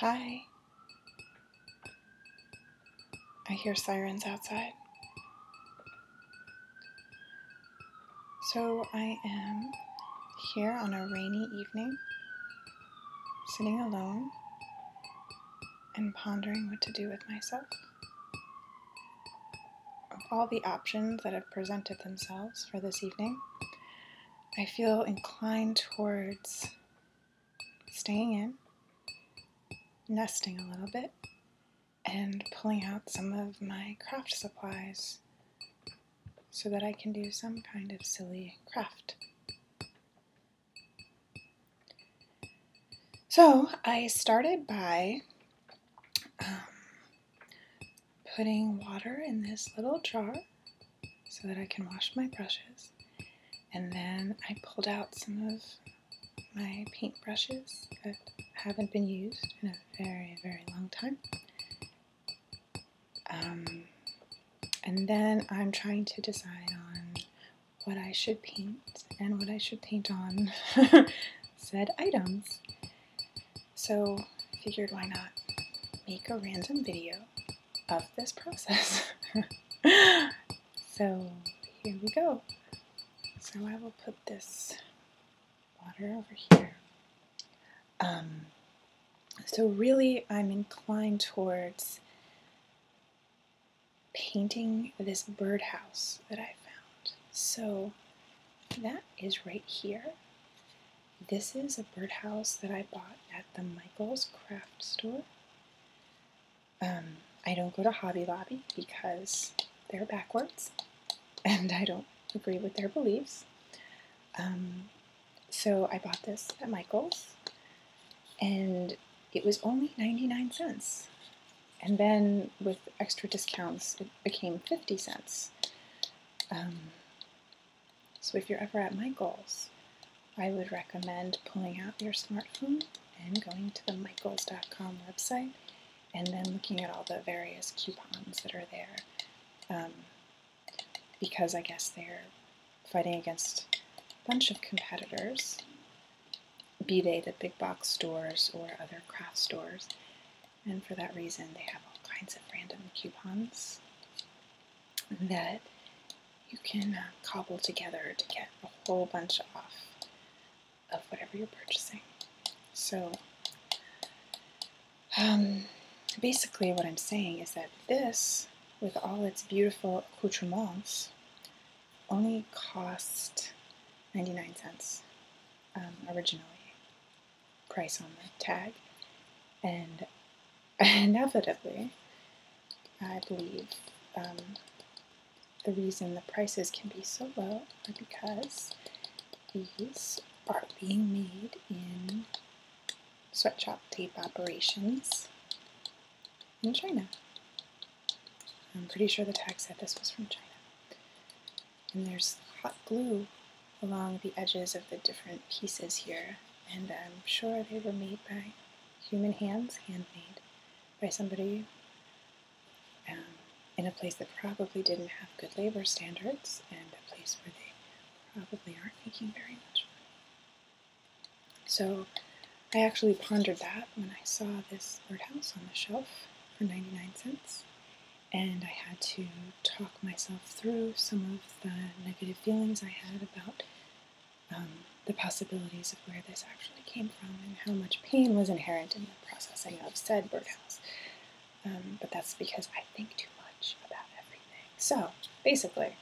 Hi. I hear sirens outside. So I am here on a rainy evening, sitting alone and pondering what to do with myself. Of all the options that have presented themselves for this evening, I feel inclined towards staying in, nesting a little bit, and pulling out some of my craft supplies so that I can do some kind of silly craft. So I started by um, putting water in this little jar so that I can wash my brushes. And then I pulled out some of my paint brushes that haven't been used in a very, very long time. Um, and then I'm trying to decide on what I should paint and what I should paint on said items. So figured why not make a random video of this process. so here we go. So I will put this water over here. Um, so really I'm inclined towards painting this birdhouse that I found. So that is right here. This is a birdhouse that I bought at the Michaels craft store. Um, I don't go to Hobby Lobby because they're backwards and I don't agree with their beliefs. Um, so I bought this at Michael's and it was only 99 cents. And then with extra discounts, it became 50 cents. Um, so if you're ever at Michael's, I would recommend pulling out your smartphone and going to the michaels.com website and then looking at all the various coupons that are there. Um, because I guess they're fighting against a bunch of competitors be they the big box stores or other craft stores. And for that reason, they have all kinds of random coupons that you can uh, cobble together to get a whole bunch off of whatever you're purchasing. So, um, basically, what I'm saying is that this, with all its beautiful accoutrements, only cost 99 cents um, originally, price on the tag. And inevitably, I believe um, the reason the prices can be so low is because these are being made in sweatshop tape operations in China. I'm pretty sure the tag said this was from China. And there's hot glue along the edges of the different pieces here, and I'm sure they were made by human hands, handmade by somebody um, in a place that probably didn't have good labor standards and a place where they probably aren't making very much money. So I actually pondered that when I saw this birdhouse on the shelf for 99 cents, and I had to talk myself through some of the negative feelings I had about um, the possibilities of where this actually came from and how much pain was inherent in the processing of said birdhouse. Um, but that's because I think too much about everything. So basically,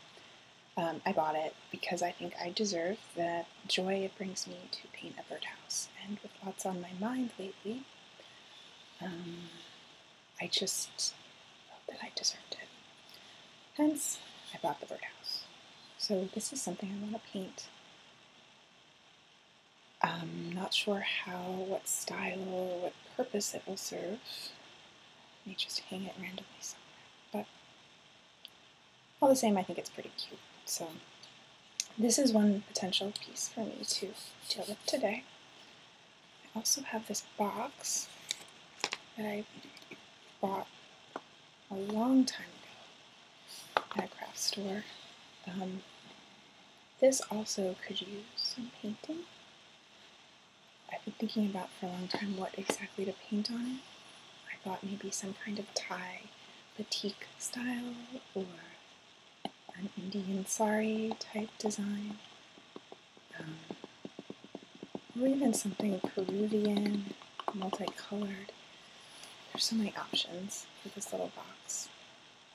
um, I bought it because I think I deserve the joy it brings me to paint a birdhouse. And with lots on my mind lately, um, I just felt that I deserved it. Hence, I bought the birdhouse. So this is something I want to paint. I'm um, not sure how, what style, or what purpose it will serve. I may just hang it randomly somewhere. But all the same, I think it's pretty cute. So this is one potential piece for me to deal with today. I also have this box that I bought a long time ago at a craft store. Um, this also could use some painting. I've been thinking about for a long time what exactly to paint on it. I thought maybe some kind of Thai batik style or an Indian sari type design, um, or even something Peruvian, multicolored. There's so many options for this little box.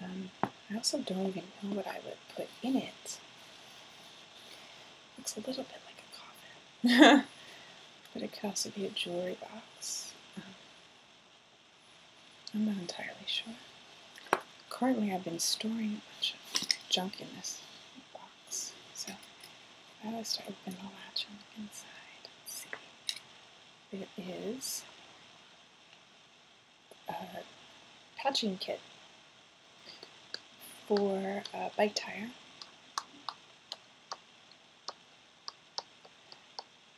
Um, I also don't even know what I would put in it. Looks a little bit like a coffin. but it could also be a jewelry box. Uh-huh. I'm not entirely sure. Currently, I've been storing a bunch of junk in this box, so I was to open the latch on the inside, let see. It is a patching kit for a bike tire.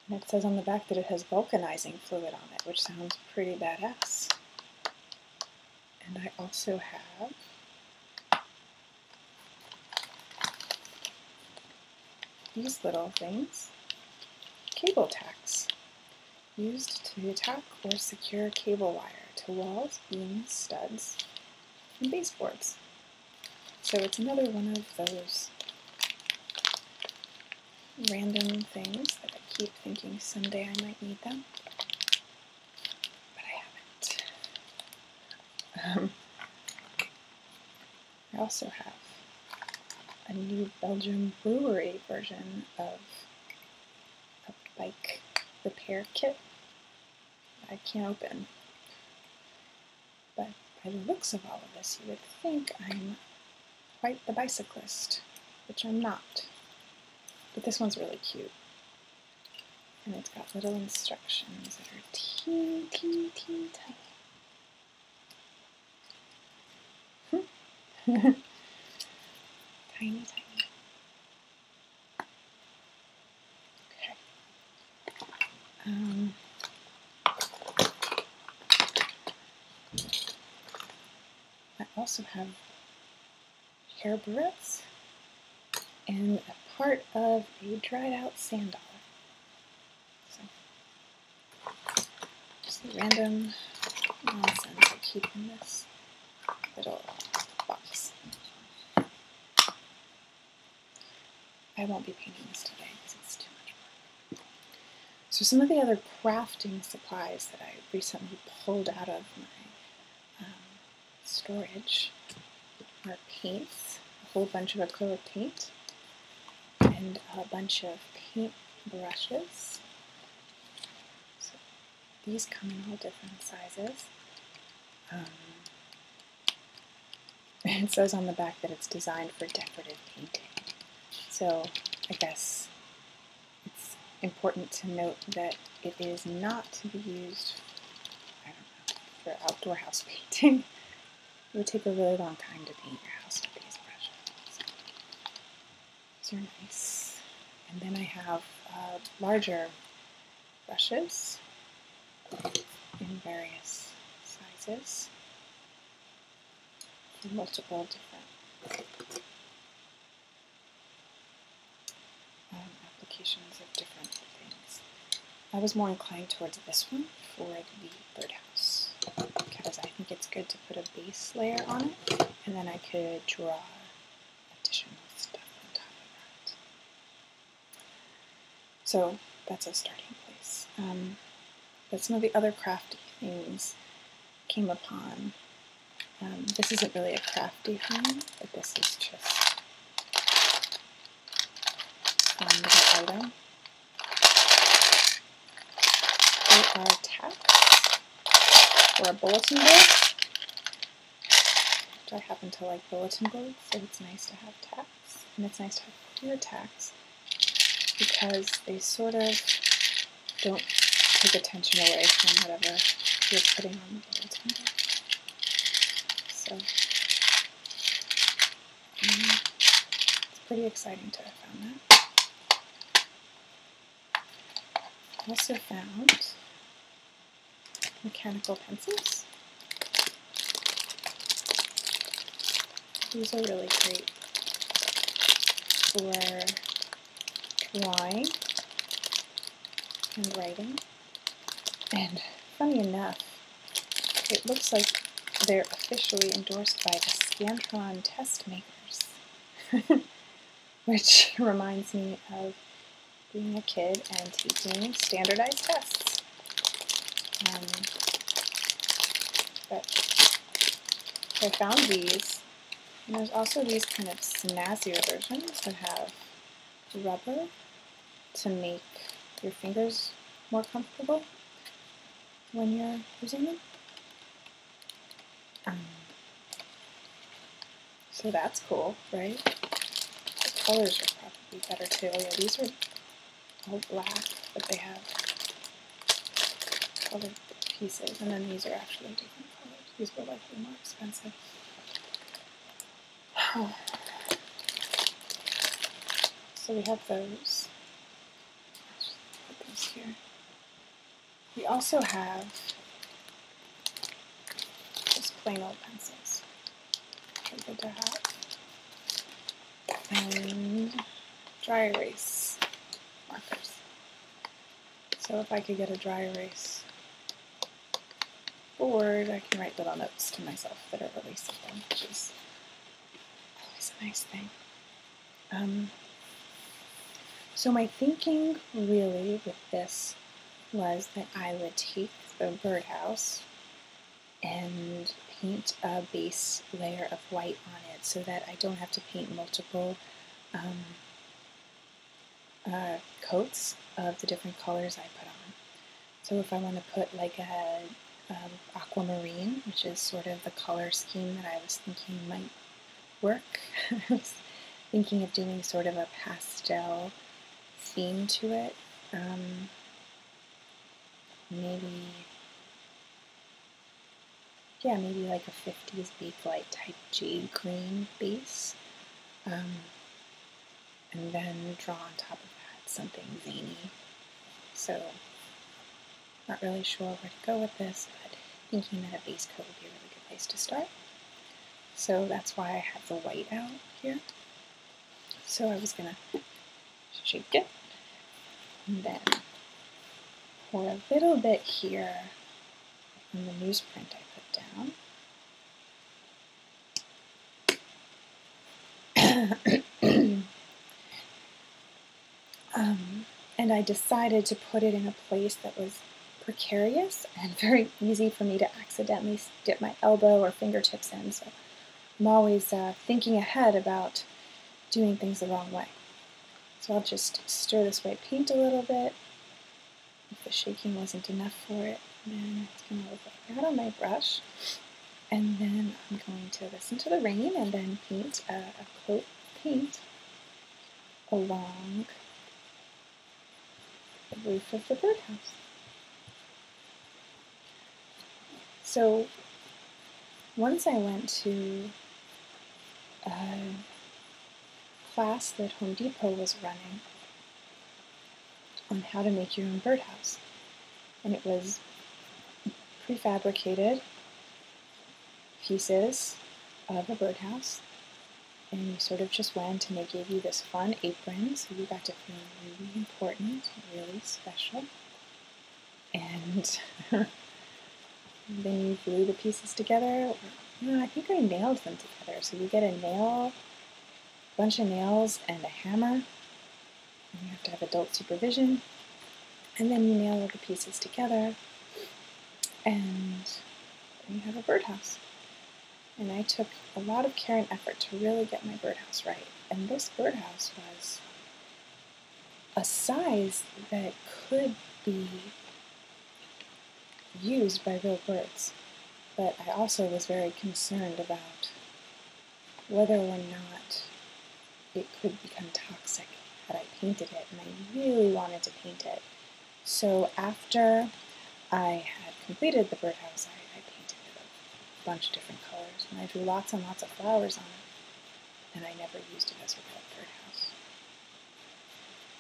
And it says on the back that it has vulcanizing fluid on it, which sounds pretty badass. And I also have these little things, cable tacks, used to attach or secure cable wire to walls, beams, studs, and baseboards. So it's another one of those random things that I keep thinking someday I might need them, but I haven't. Um, I also have a new Belgian brewery version of a bike repair kit I can't open. But by the looks of all of this, you would think I'm quite the bicyclist, which I'm not. But this one's really cute. And it's got little instructions that are teeny, hmm. tiny. tiny, tiny. Okay. Um, I also have hair barrettes and a part of a dried out sand dollar. just random nonsense I keep in this little box. I won't be painting this today because it's too much work. So some of the other crafting supplies that I recently pulled out of my um, storage are paints, a whole bunch of acrylic paint, and a bunch of paint brushes. these come in all different sizes. Um, it says on the back that it's designed for decorative painting. So I guess it's important to note that it is not to be used for outdoor house painting. It would take a really long time to paint your house with these brushes. So, these are nice. And then I have larger brushes in various sizes for multiple different um, applications of different things. I was more inclined towards this one for the birdhouse because I think it's good to put a base layer on it and then I could draw additional stuff on top of that. So that's a starting place. Um, but some of the other crafty things came upon. Um, this isn't really a crafty thing, but this is just one little item. We are tacks for a bulletin board. Which I happen to like bulletin boards, so it's nice to have tacks. And it's nice to have clear tacks because they sort of don't take attention away from whatever you're putting on the bulletin board. So, mm, it's pretty exciting to have found that. also found mechanical pencils. These are really great for drawing and writing. And funny enough, it looks like they're officially endorsed by the Scantron Test Makers, which reminds me of being a kid and taking standardized tests. Um, but I found these, and there's also these kind of snazzier versions that have rubber to make your fingers more comfortable when you're using them. Um, so that's cool, right? The colors are probably better too. Oh, yeah, these are all black, but they have colored pieces. And then these are actually different colors. These were likely more expensive. So we have those. Put those here. We also have just plain old pencils good to have. And dry erase markers. So if I could get a dry erase board, I can write little notes to myself that are releasable, which is always a nice thing. Um, so my thinking really with this was that I would take the birdhouse and paint a base layer of white on it so that I don't have to paint multiple um, uh, coats of the different colors I put on. So if I want to put like a um, aquamarine, which is sort of the color scheme that I was thinking might work, I was thinking of doing sort of a pastel theme to it. Um, maybe, yeah, maybe like a 50s Bakelite type jade green base. Um, and then draw on top of that something zany. So, not really sure where to go with this, but thinking that a base coat would be a really good place to start. So that's why I have the white out here. So I was gonna shake it and then pour a little bit here on the newsprint I put down. Um, and I decided to put it in a place that was precarious and very easy for me to accidentally dip my elbow or fingertips in. So I'm always uh, thinking ahead about doing things the wrong way. So I'll just stir this white paint a little bit. If the shaking wasn't enough for it, then it's going to look like that on my brush. And then I'm going to listen to the rain and then paint a coat paint along the built a birdhouse. So once I went to a class that Home Depot was running on how to make your own birdhouse. And it was prefabricated pieces of a birdhouse and you sort of just went and they gave you this fun apron so you got to feel really important, really special. And then you glue the pieces together. I think I nailed them together. So you get a nail, bunch of nails, and a hammer. And you have to have adult supervision. And then you nail all the pieces together. And you have a birdhouse and I took a lot of care and effort to really get my birdhouse right. And this birdhouse was a size that could be used by real birds, but I also was very concerned about whether or not it could become toxic had I painted it, and I really wanted to paint it. So after I had completed the birdhouse. I, painted it a bunch of different colors, and I drew lots and lots of flowers on it, and I never used it as a real birdhouse.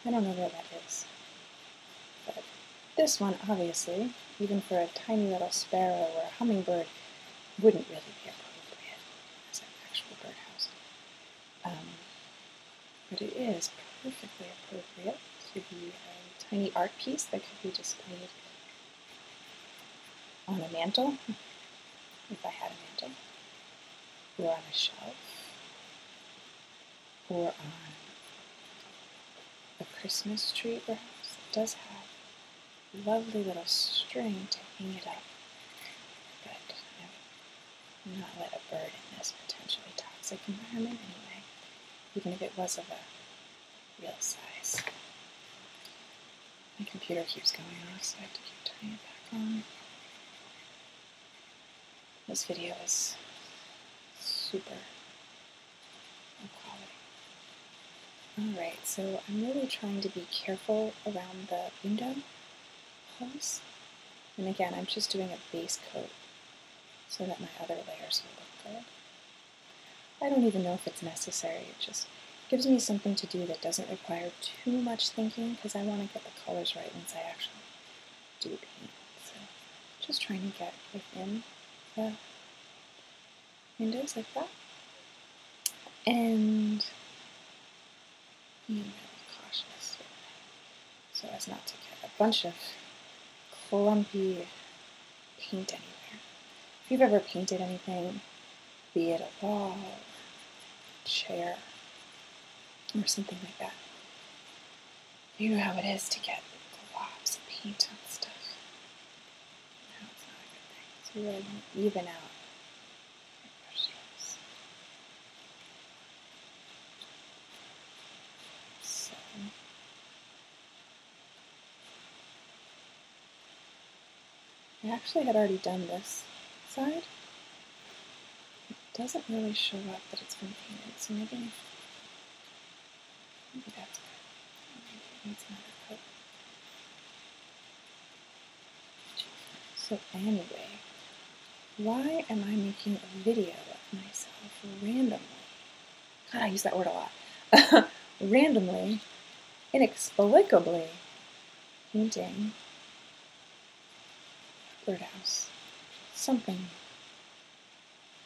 I don't know where that is. But this one, obviously, even for a tiny little sparrow or a hummingbird, wouldn't really be appropriate as an actual birdhouse. Um, but it is perfectly appropriate to be a tiny art piece that could be displayed on a mantle, if I had a mantle, or on a shelf, or on a Christmas tree perhaps. It does have lovely little string to hang it up, but I would not let a bird in this potentially toxic environment anyway even if it was of a real size. My computer keeps going off, so I have to keep turning it back on. This video is super quality. Alright, so I'm really trying to be careful around the window holes. And again, I'm just doing a base coat so that my other layers will look good. I don't even know if it's necessary, it just gives me something to do that doesn't require too much thinking because I want to get the colors right once I actually do paint. So just trying to get within the windows like that. And being really cautious with so as not to get a bunch of clumpy paint anywhere. If you've ever painted anything, be it a wall, chair, or something like that, you know how it is to get globs of paint on stuff. No, not a good thing. So you want to even out So I actually had already done this side. It doesn't really show up that it's been painted, so maybe, maybe that's good. Maybe it needs another coat. So anyway, why am I making a video of myself randomly? God, I use that word a lot. Randomly, inexplicably painting birdhouse. Something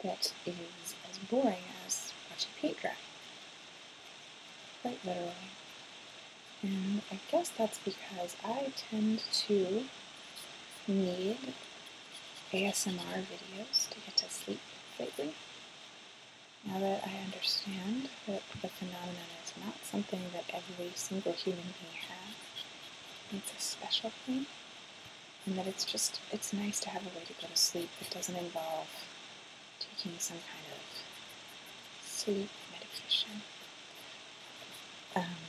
that is as boring as watching paint dry. Quite literally. And I guess that's because I tend to need ASMR videos to get to sleep lately. Now that I understand that the phenomenon is not something that every single human being has, it's a special thing, and that it's just, it's nice to have a way to go to sleep that doesn't involve taking some kind of sleep medication. Um,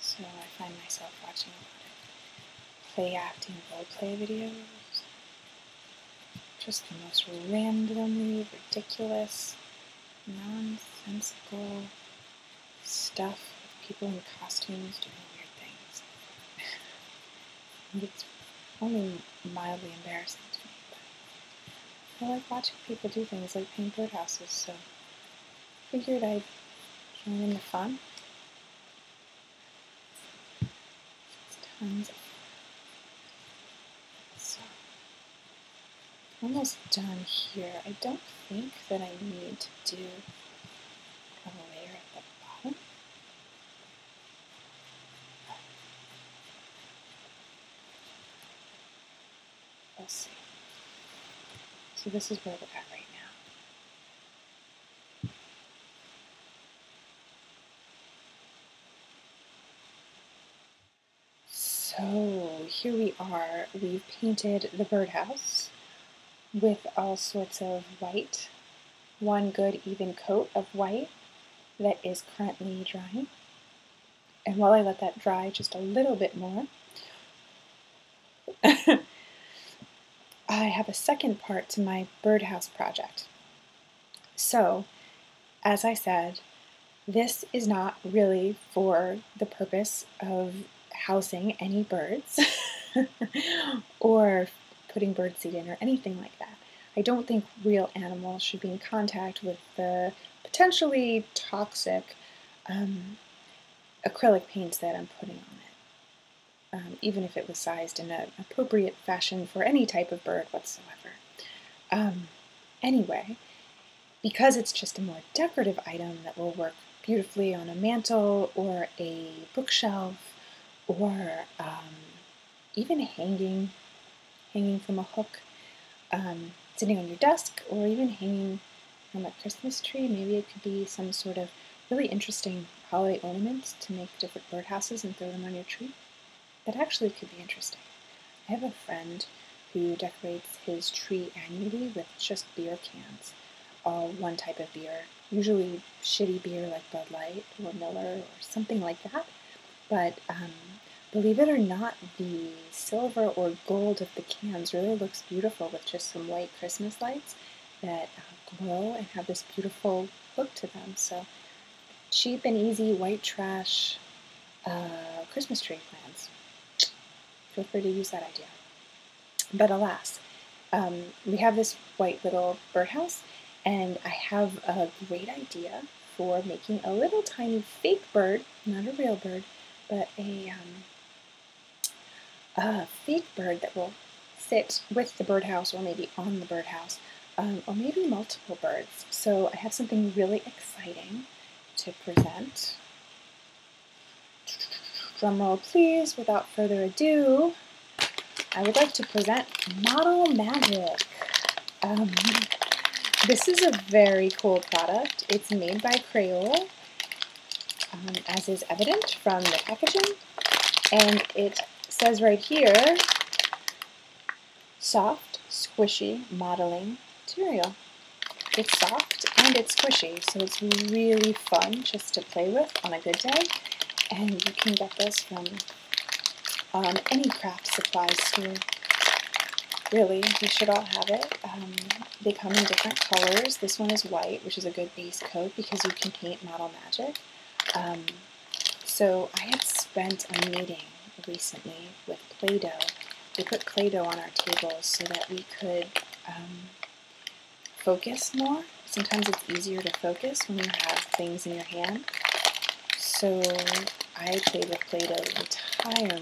so I find myself watching a lot of play acting roleplay videos. Just the most randomly ridiculous, nonsensical stuff with people in costumes doing weird things. it's only mildly embarrassing to me, but I like watching people do things like paint their houses. so figured I'd join in the fun. It's tons so almost done here. I don't think that I need to do a layer at the bottom. Let's see. So this is where we're at right now. So here we are. We've painted the birdhouse with all sorts of white. One good even coat of white that is currently drying. And while I let that dry just a little bit more, I have a second part to my birdhouse project. So, as I said, this is not really for the purpose of housing any birds or putting birdseed in or anything like that. I don't think real animals should be in contact with the potentially toxic um, acrylic paints that I'm putting on it, um, even if it was sized in an appropriate fashion for any type of bird whatsoever. Um, anyway, because it's just a more decorative item that will work beautifully on a mantle or a bookshelf or um, even hanging, hanging from a hook, sitting on your desk, or even hanging on that Christmas tree. Maybe it could be some sort of really interesting holiday ornament to make different birdhouses and throw them on your tree. That actually could be interesting. I have a friend who decorates his tree annually with just beer cans, all one type of beer, usually shitty beer like Bud Light or Miller or something like that. But um, believe it or not, the silver or gold of the cans really looks beautiful with just some white Christmas lights that uh, glow and have this beautiful look to them. So cheap and easy white trash uh, Christmas tree plans. Feel free to use that idea. But alas, um, we have this white little birdhouse, and I have a great idea for making a little tiny fake bird, not a real bird, but a um, a feed bird that will sit with the birdhouse or maybe on the birdhouse, um, or maybe multiple birds. So I have something really exciting to present. Drum roll, please, without further ado, I would like to present Model Magic. Um, this is a very cool product. It's made by Crayola, um, as is evident from the packaging. And it says right here, soft, squishy modeling material. It's soft and it's squishy, so it's really fun just to play with on a good day. And you can get this from um, any craft supply store. Really, you should all have it. Um, they come in different colors. This one is white, which is a good base coat because you can paint Model Magic. Um, so I had spent a meeting recently with Play-Doh. We put Play-Doh on our tables so that we could um, focus more. Sometimes it's easier to focus when you have things in your hand. So I played with Play-Doh entirely.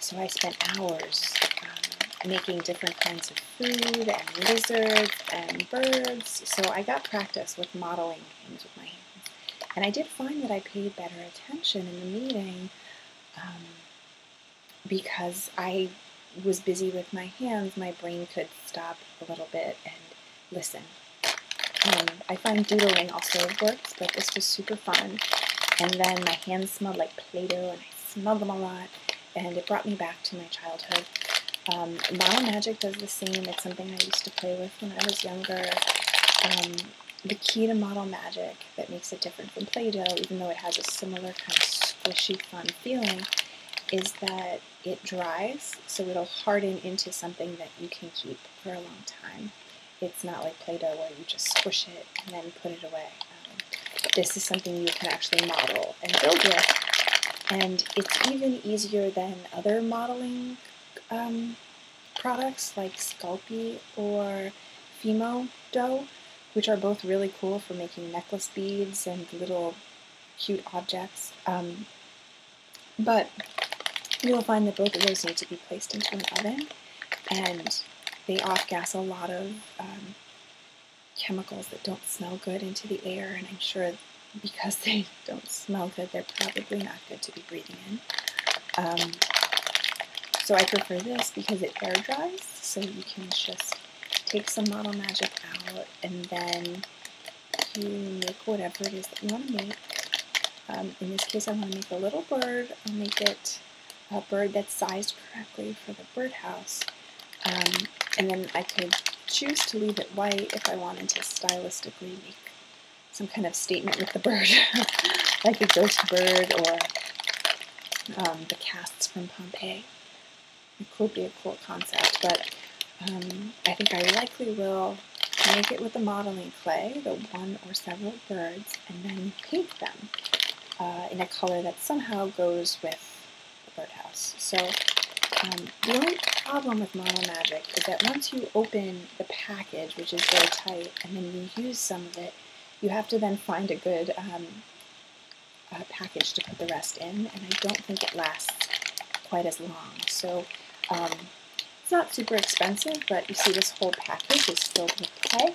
So I spent hours um, making different kinds of food and lizards and birds. So I got practice with modeling things with my hands. And I did find that I paid better attention in the meeting um, because I was busy with my hands. My brain could stop a little bit and listen. I find doodling also works, but this was super fun. And then my hands smelled like Play-Doh and I smelled them a lot, and it brought me back to my childhood. Model um, Magic does the same. It's something I used to play with when I was younger. Um, the key to Model Magic that makes it different from Play-Doh, even though it has a similar kind of squishy, fun feeling, is that it dries, so it'll harden into something that you can keep for a long time. It's not like Play-Doh where you just squish it and then put it away this is something you can actually model and build with. And it's even easier than other modeling um, products like Sculpey or Fimo Dough, which are both really cool for making necklace beads and little cute objects. Um, but you'll find that both of those need to be placed into an oven and they off gas a lot of um, chemicals that don't smell good into the air, and I'm sure because they don't smell good, they're probably not good to be breathing in. Um, so I prefer this because it air dries, so you can just take some Model Magic out, and then you make whatever it is that you want to make. Um, in this case, I want to make a little bird. I'll make it a bird that's sized correctly for the birdhouse. Um, and then I could choose to leave it white if I wanted to stylistically make some kind of statement with the bird, like the ghost bird or um, the casts from Pompeii. It could be a cool concept, but um, I think I likely will make it with the modeling clay, the one or several birds, and then paint them uh, in a color that somehow goes with the birdhouse. So um, the only problem with Mono Magic is that once you open the package, which is very tight, and then you use some of it, you have to then find a good um, package to put the rest in, and I don't think it lasts quite as long. So um, it's not super expensive, but you see this whole package is filled with clay.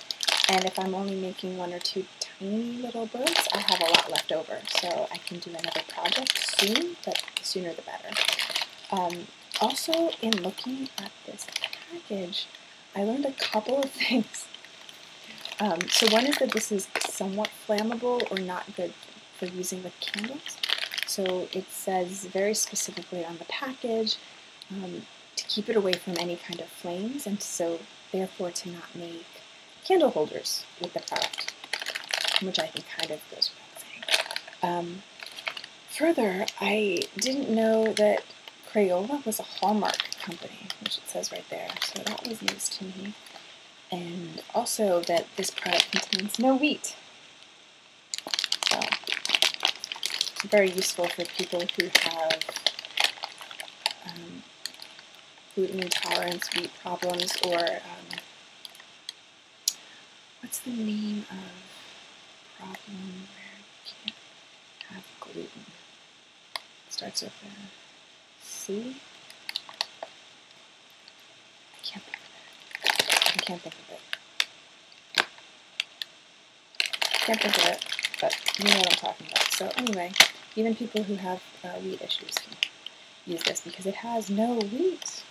And if I'm only making one or two tiny little birds, I have a lot left over. So I can do another project soon, but the sooner the better. Um, also, in looking at this package, I learned a couple of things. Um, so one is that this is somewhat flammable or not good for using with candles. So it says very specifically on the package, um, to keep it away from any kind of flames and so therefore to not make candle holders with the product, which I think kind of goes without saying. Um, further, I didn't know that Crayola was a Hallmark company, which it says right there, so that was news to me. And also that this product contains no wheat. So, very useful for people who have um, gluten intolerance, wheat problems, or um, what's the name of problem where you can't have gluten? starts with a C. I can't I can't think of it. Can't think of it, but you know what I'm talking about. So anyway, even people who have uh, wheat issues can use this because it has no wheat.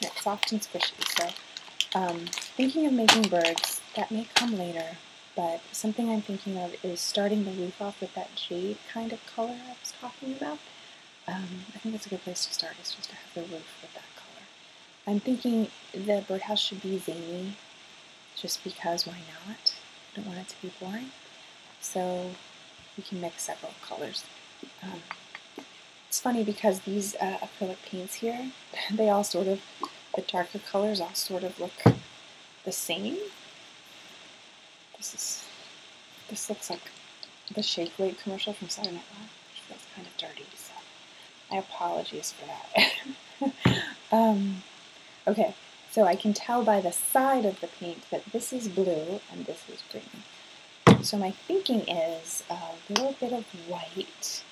it's soft and squishy, so um, thinking of making birds, that may come later, but something I'm thinking of is starting the roof off with that jade kind of color I was talking about. Um, I think it's a good place to start, is just to have the roof with that color. I'm thinking the birdhouse should be zany, just because why not? I don't want it to be boring. So we can mix several colors. Um, it's funny because these uh, acrylic paints here, they all sort of, the darker colors all sort of look the same. This is, this looks like the Shake Weight commercial from Saturday Night Live, which feels kind of dirty, so I apologize for that. Um, okay, so I can tell by the side of the paint that this is blue and this is green. So my thinking is a little bit of white,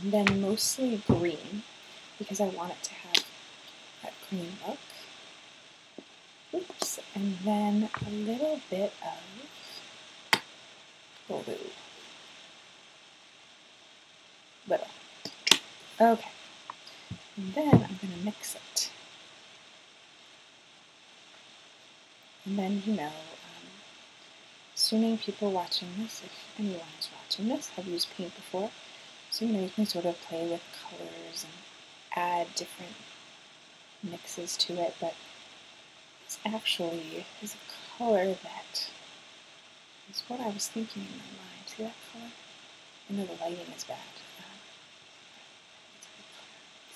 and then mostly green, because I want it to have that green look. Oops, and then a little bit of we Little. Okay. And then I'm going to mix it. And then, you know, assuming um, people watching this, if anyone is watching this, have used paint before. So, you know, you can sort of play with colors and add different mixes to it, but this actually is a color that is what I was thinking in my mind. See that color? I know the lighting is bad.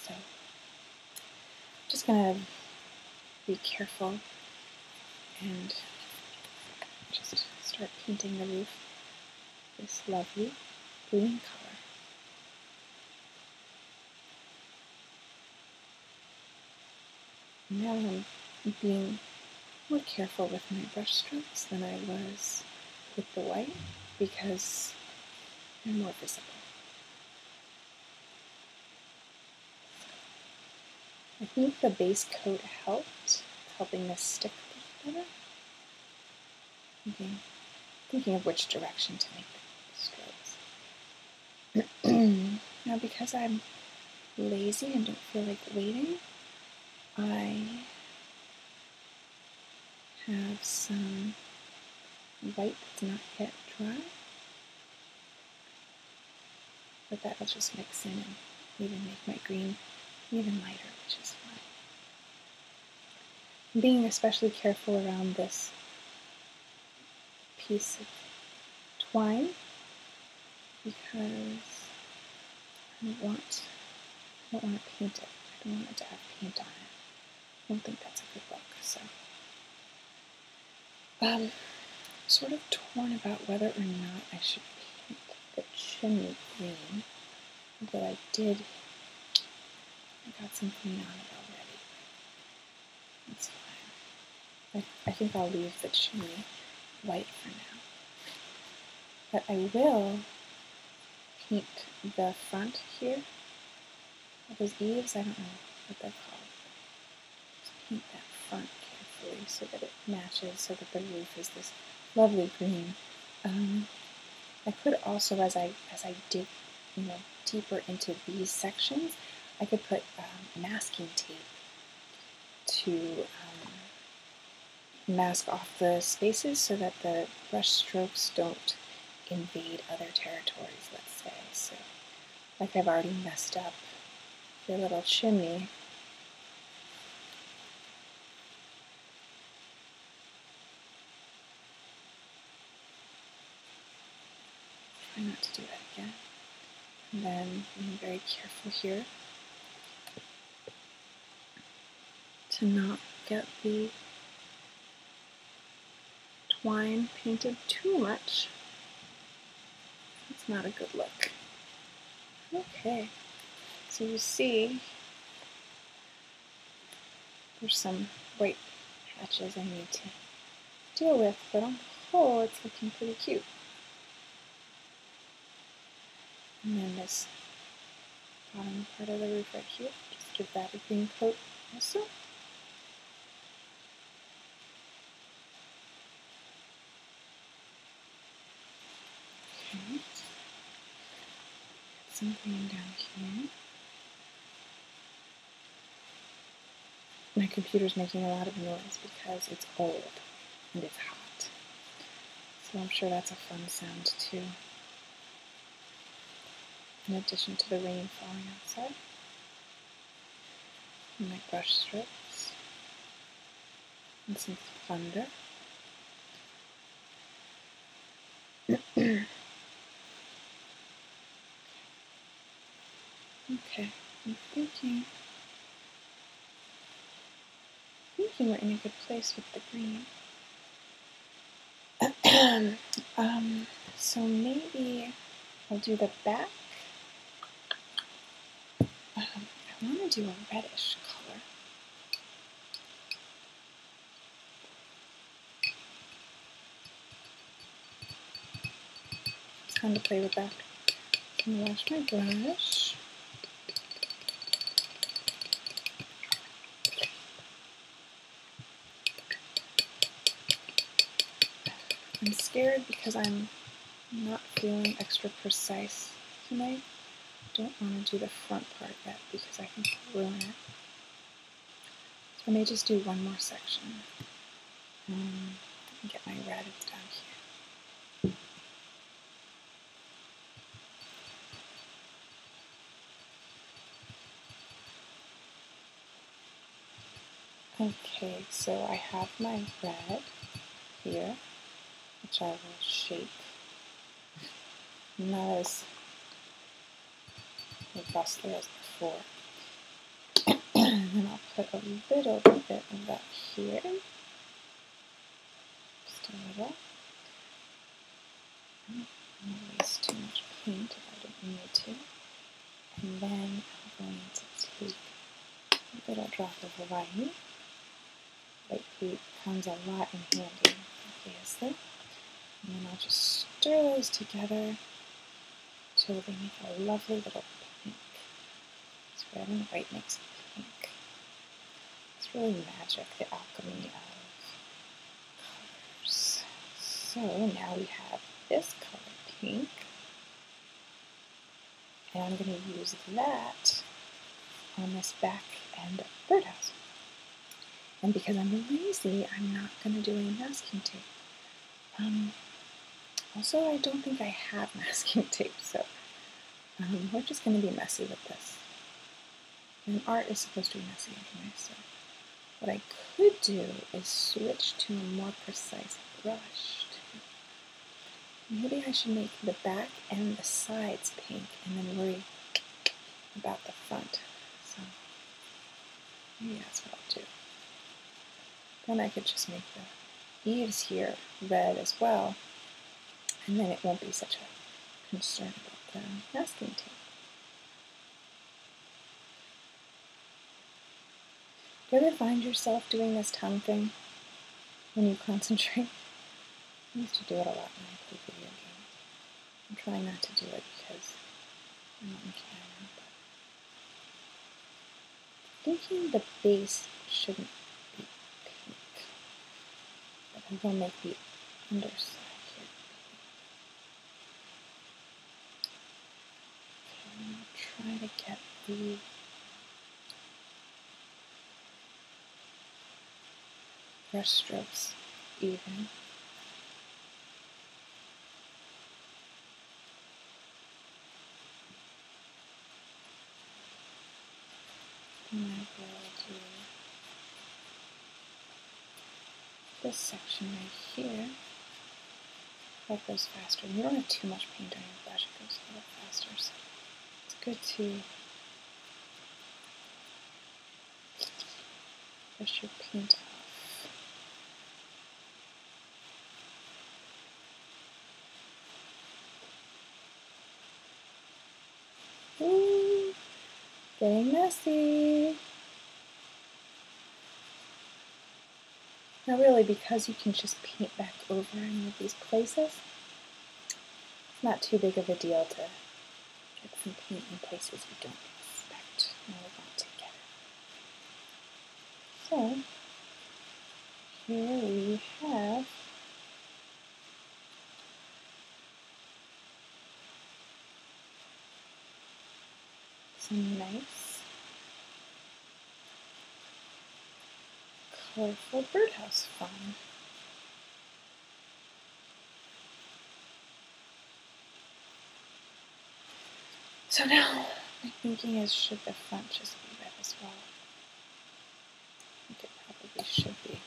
So, I'm just going to be careful and just start painting the roof this lovely green color. Now I'm being more careful with my brushstrokes than I was with the white because they're more visible. I think the base coat helped, helping this stick a little better. Thinking of which direction to make the strokes. now, because I'm lazy and don't feel like waiting, I have some white that's not yet dry. But that'll just mix in and even make my green even lighter, which is fine. being especially careful around this piece of twine because I don't want I don't want to paint it. I don't want it to have paint on it. I don't think that's a good look. So um sort of torn about whether or not I should paint the chimney green. But I did I got some green on it already. That's fine. I, I think I'll leave the chimney white for now. But I will paint the front here. those eaves? I don't know what they're called. paint that front carefully so that it matches, so that the roof is this lovely green. Um, I could also, as I as I dig you know, deeper into these sections, I could put um, masking tape to um, mask off the spaces so that the brush strokes don't invade other territories, let's say. So, like I've already messed up the little chimney. Try not to do that again. And then being very careful here to not get the twine painted too much. It's not a good look. Okay, so you see there's some white patches I need to deal with, but on the whole, it's looking pretty cute. And then this bottom part of the roof right here, just give that a green coat also. Okay. Some green down here my computer is making a lot of noise because it's old and it's hot. So I'm sure that's a fun sound too. In addition to the rain falling outside. And my brush strokes. And some thunder. Okay, I'm thinking. thinking we're in a good place with the green. um, so maybe I'll do the back. Um, I want to do a reddish color. It's fun to play with that. I'm gonna wash my brush. I'm scared because I'm not feeling extra precise tonight. Don't want to do the front part yet because I can ruin it. So I may just do one more section. Let um, me get my red down here. Okay, so I have my red here, which I will shape not robustly as before. and then I'll put a little bit of that here. Just a little. Mm, I don't waste too much paint if I don't need to. And then I'm going to take a little drop of Hawaii. White paint comes a lot in handy, obviously. And then I'll just stir those together so they make a lovely little pink. It's red and white makes pink. It's really magic, the alchemy of colors. So now we have this color pink. And I'm going to use that on this back end of the birdhouse. And because I'm lazy, I'm not going to do any masking tape. Um, also, I don't think I have masking tape, so um, we're just going to be messy with this. And art is supposed to be messy anyway, so what I could do is switch to a more precise brush. Maybe I should make the back and the sides pink and then worry about the front. Maybe that's what I'll do. Then I could just make the eaves here red as well, and then it won't be such a concern about the masking tape. Do you ever find yourself doing this tongue thing when you concentrate? I used to do it a lot when I played video games. I'm trying not to do it because I'm on camera, but thinking the base shouldn't be pink, but I will make the underside pink. Okay, try to get the brush strokes even. And I go to this section right here. That goes faster. And you don't have too much paint on your brush, it goes a little faster. So it's good to brush your paint off. Ooh, getting messy. Not really, because you can just paint back over any of these places, it's not too big of a deal to get some paint in places you don't expect and we want together. So here we have some nice colorful birdhouse fun. So now my thinking is should the front just be red as well? I think it probably should be.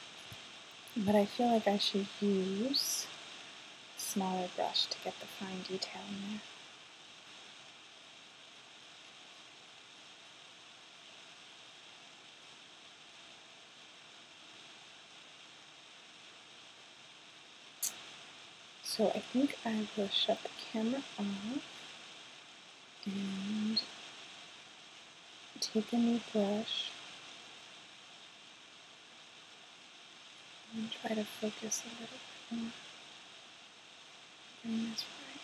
But I feel like I should use a smaller brush to get the fine detail in there. So I think I will shut the camera off and take a new brush and try to focus a little bit more. this right.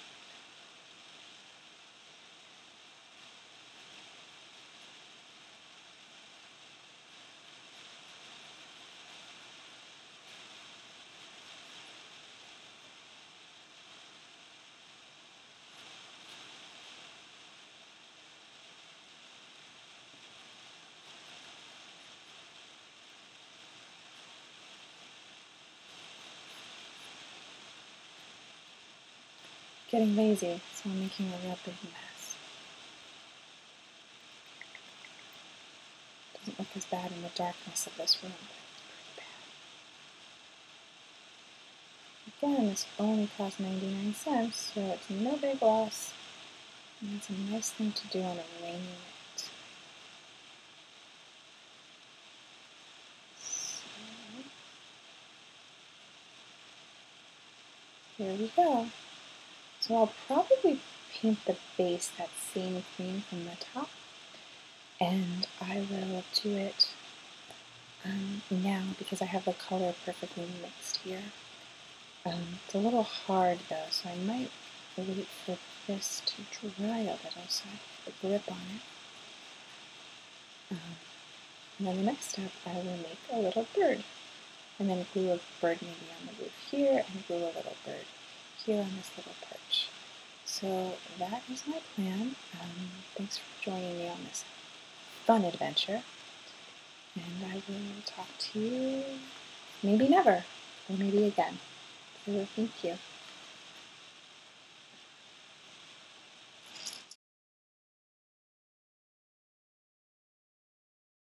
Getting lazy, so I'm making a real big mess. Doesn't look as bad in the darkness of this room, but it's pretty bad. Again, this only cost 99 cents, so it's no big loss. And it's a nice thing to do on a rainy night. Here we go. So I'll probably paint the base that same green from the top and I will do it um, now because I have the color perfectly mixed here. Um, it's a little hard though, so I might wait for this to dry a little so I have a grip on it. Um, and then the next step, I will make a little bird and then glue a bird maybe on the roof here, and glue a little bird here on this little perch. So that is my plan. Um, thanks for joining me on this fun adventure, and I will talk to you maybe never, or maybe again. So thank you.